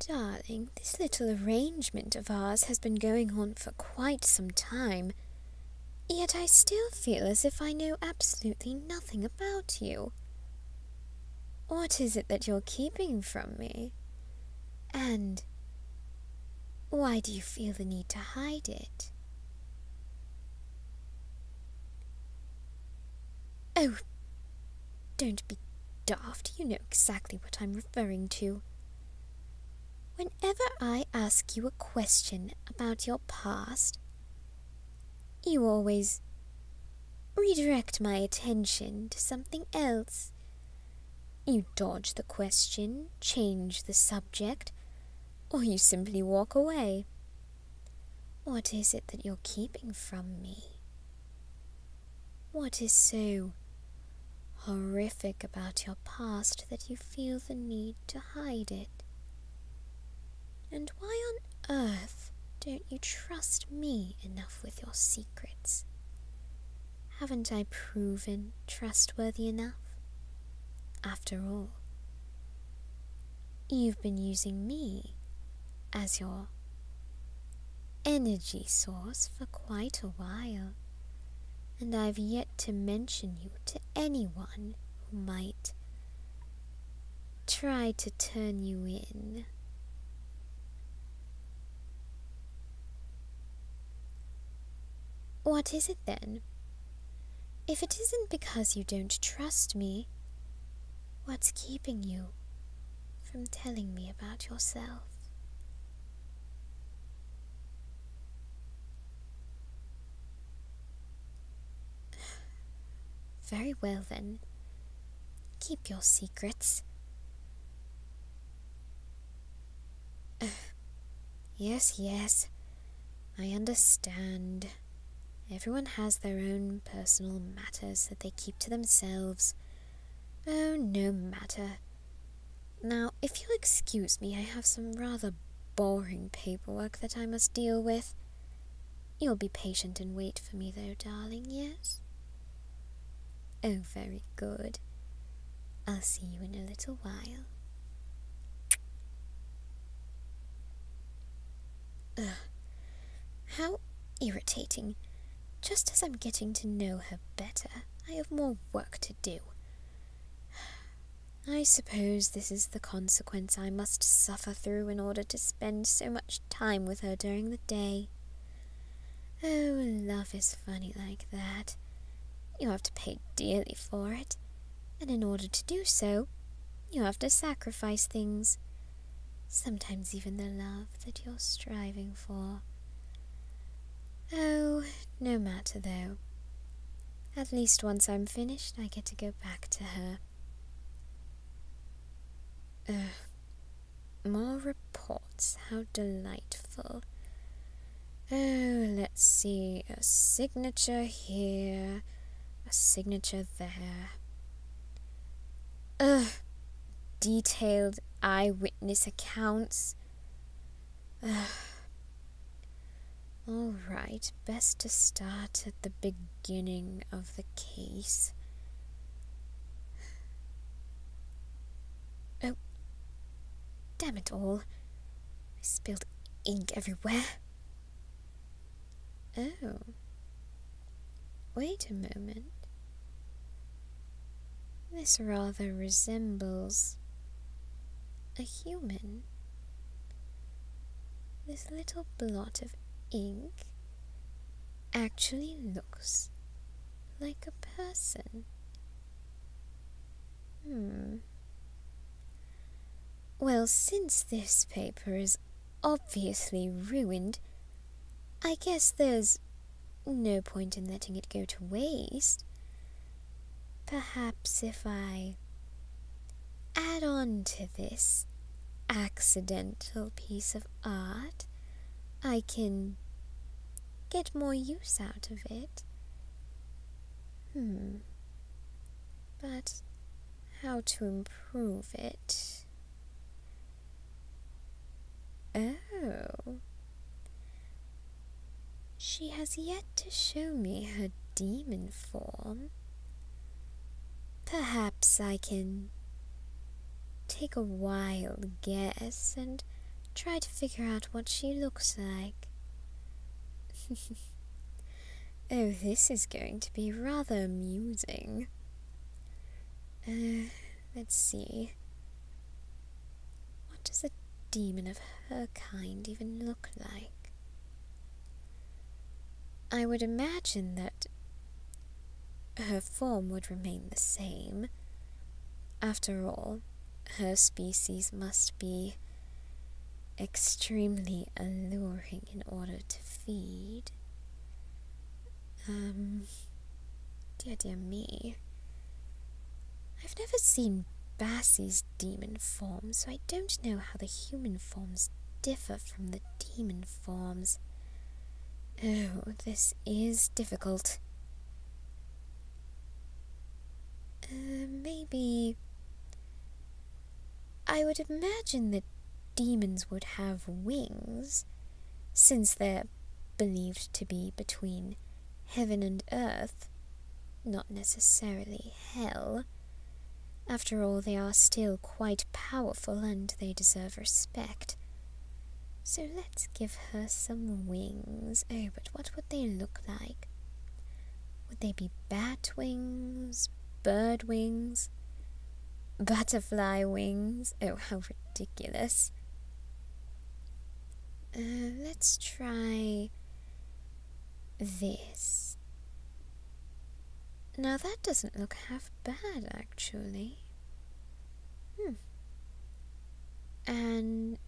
Darling, this little arrangement of ours has been going on for quite some time, yet I still feel as if I know absolutely nothing about you. What is it that you're keeping from me? And why do you feel the need to hide it? Oh, don't be daft, you know exactly what I'm referring to. Whenever I ask you a question about your past, you always redirect my attention to something else. You dodge the question, change the subject, or you simply walk away. What is it that you're keeping from me? What is so horrific about your past that you feel the need to hide it? And why on earth don't you trust me enough with your secrets? Haven't I proven trustworthy enough? After all, you've been using me as your energy source for quite a while, and I've yet to mention you to anyone who might try to turn you in. What is it then? If it isn't because you don't trust me, What's keeping you from telling me about yourself? Very well then. Keep your secrets. yes, yes. I understand. Everyone has their own personal matters that they keep to themselves. Oh, no matter. Now, if you'll excuse me, I have some rather boring paperwork that I must deal with. You'll be patient and wait for me, though, darling, yes? Oh, very good. I'll see you in a little while. Ugh. How irritating. Just as I'm getting to know her better, I have more work to do. I suppose this is the consequence I must suffer through in order to spend so much time with her during the day. Oh, love is funny like that. You have to pay dearly for it, and in order to do so, you have to sacrifice things sometimes even the love that you're striving for. Oh, no matter though. At least once I'm finished, I get to go back to her. Ugh. More reports. How delightful. Oh, let's see. A signature here, a signature there. Ugh, detailed eyewitness accounts. Ugh. All right, best to start at the beginning of the case. Oh, damn it all. I spilled ink everywhere. Oh. Wait a moment. This rather resembles a human. This little blot of ink actually looks like a person. Hmm. Well, since this paper is obviously ruined, I guess there's no point in letting it go to waste. Perhaps if I add on to this accidental piece of art, I can get more use out of it. Hmm. But how to improve it? Oh. She has yet to show me her demon form. Perhaps I can take a wild guess and try to figure out what she looks like. Oh, this is going to be rather amusing. Uh, let's see. What does a demon of her kind even look like? I would imagine that her form would remain the same. After all, her species must be extremely alluring in order to feed. Um, dear, dear me. I've never seen Bassie's demon form, so I don't know how the human forms differ from the demon forms. Oh, this is difficult. Uh, maybe I would imagine that demons would have wings, since they're believed to be between heaven and earth, not necessarily hell. After all, they are still quite powerful and they deserve respect. So let's give her some wings. Oh, but what would they look like? Would they be bat wings, bird wings, butterfly wings. Oh, how ridiculous. Uh, let's try this. Now that doesn't look half bad, actually. Hmm. And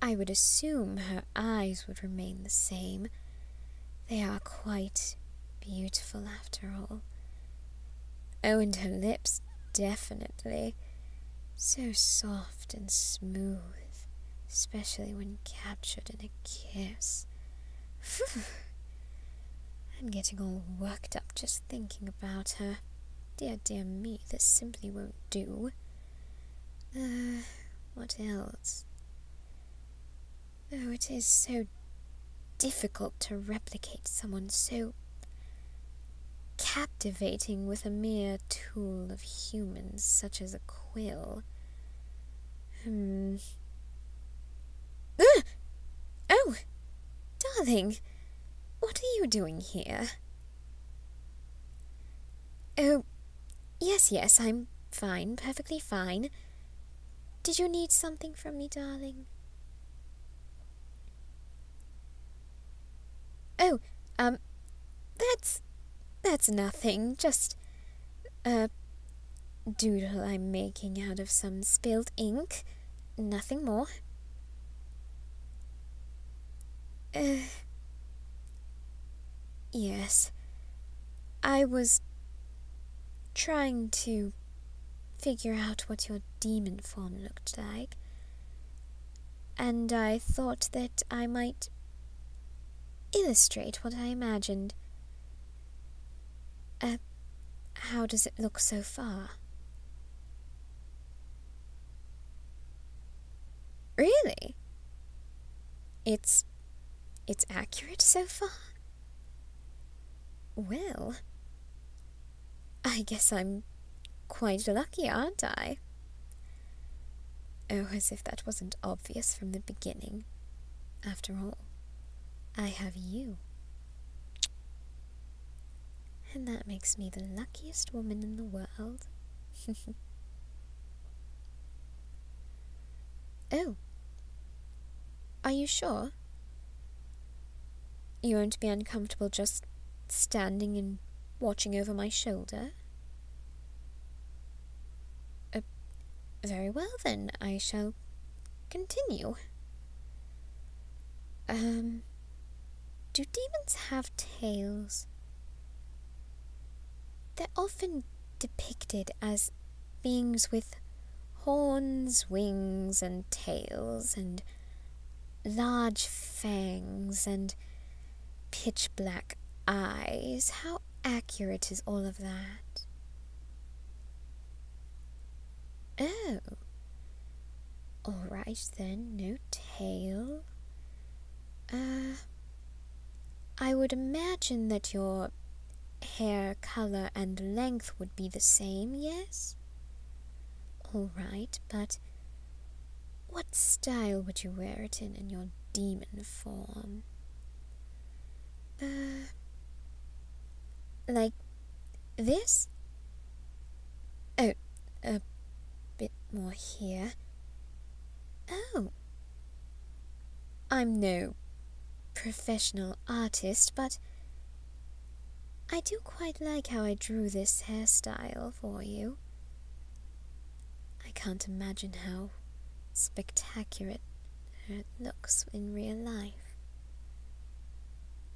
I would assume her eyes would remain the same, they are quite beautiful after all. Oh, and her lips, definitely. So soft and smooth, especially when captured in a kiss. Whew. I'm getting all worked up just thinking about her. Dear, dear me, this simply won't do. Uh, what else? Oh, it is so difficult to replicate someone so captivating with a mere tool of humans such as a quill. Hmm. Ah! Oh! Darling! What are you doing here? Oh, yes, yes, I'm fine, perfectly fine. Did you need something from me, darling? Oh, um, that's. that's nothing. Just. a uh, doodle I'm making out of some spilled ink. Nothing more. Uh, yes. I was trying to figure out what your demon form looked like, and I thought that I might illustrate what I imagined. Uh, how does it look so far? Really? It's it's accurate so far? Well, I guess I'm quite lucky, aren't I? Oh, as if that wasn't obvious from the beginning. After all, I have you. And that makes me the luckiest woman in the world. Oh. Are you sure? You won't be uncomfortable just standing and watching over my shoulder? Uh, very well, then, I shall continue. Um, do demons have tails? They're often depicted as beings with horns, wings, and tails, and large fangs, and pitch black eyes. How accurate is all of that? Oh. All right then, no tail. Uh, I would imagine that your hair color and length would be the same, yes? All right, but what style would you wear it in in your demon form? Uh, like this? Oh, a bit more here. Oh, I'm no professional artist, but I do quite like how I drew this hairstyle for you. I can't imagine how spectacular it looks in real life.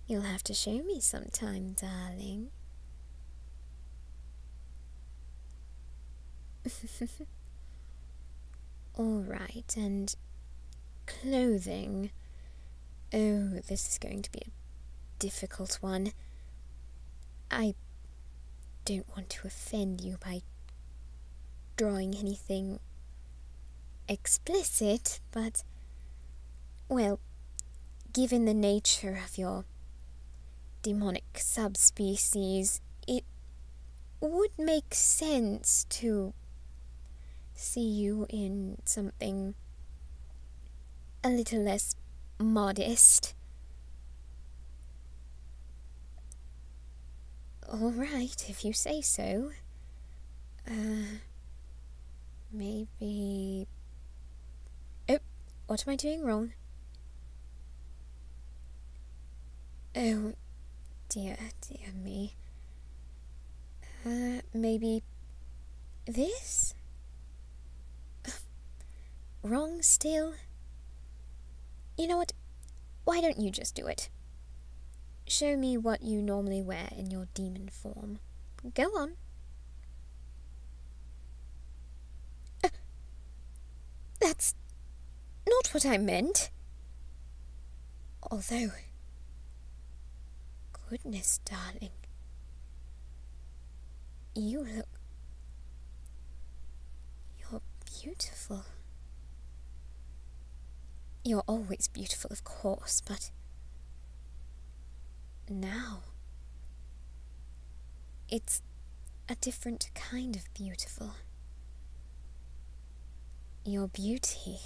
You'll have to show me sometime, darling. All right, and clothing. Oh, this is going to be a difficult one. I don't want to offend you by drawing anything explicit, but, well, given the nature of your demonic subspecies, it would make sense to see you in something a little less modest. All right, if you say so. Uh, maybe. Oh, what am I doing wrong? Oh, dear, dear me. Uh, maybe this? Wrong still? You know what? Why don't you just do it? Show me what you normally wear in your demon form. Go on. Uh, that's not what I meant. Although. Goodness, darling. You look. You're beautiful. You're always beautiful, of course, but. Now. It's a different kind of beautiful. Your beauty,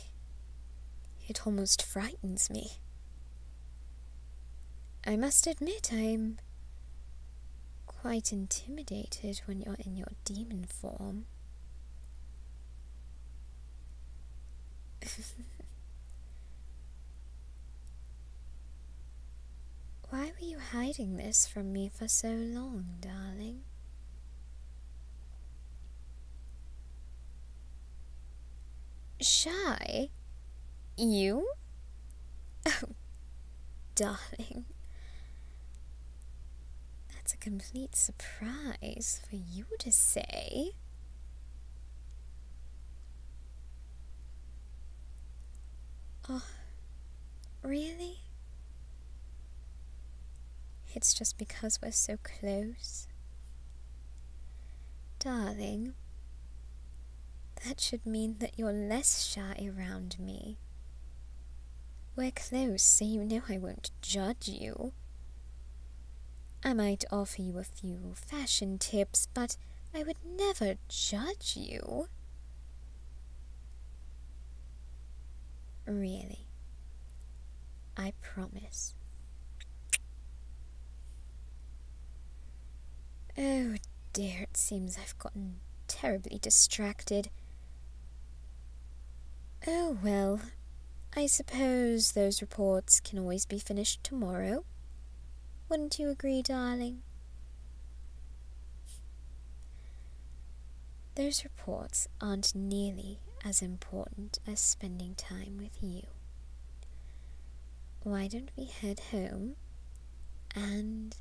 it almost frightens me. I must admit I'm quite intimidated when you're in your demon form. Why were you hiding this from me for so long, darling? Shy? You? Oh, darling. That's a complete surprise for you to say. Oh, Really? It's just because we're so close. Darling, that should mean that you're less shy around me. We're close, so you know I won't judge you. I might offer you a few fashion tips, but I would never judge you. Really. I promise. Oh dear, it seems I've gotten terribly distracted. Oh well, I suppose those reports can always be finished tomorrow. Wouldn't you agree, darling? Those reports aren't nearly as important as spending time with you. Why don't we head home and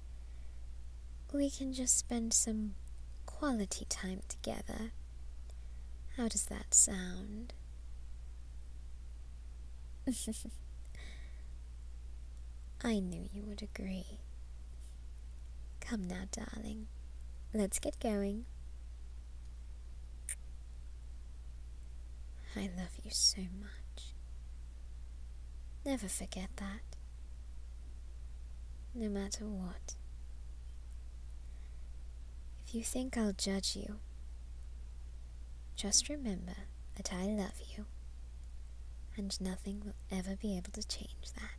we can just spend some quality time together? How does that sound? I knew you would agree. Come now, darling. Let's get going. I love you so much. Never forget that. No matter what. If you think I'll judge you, just remember that I love you, and nothing will ever be able to change that.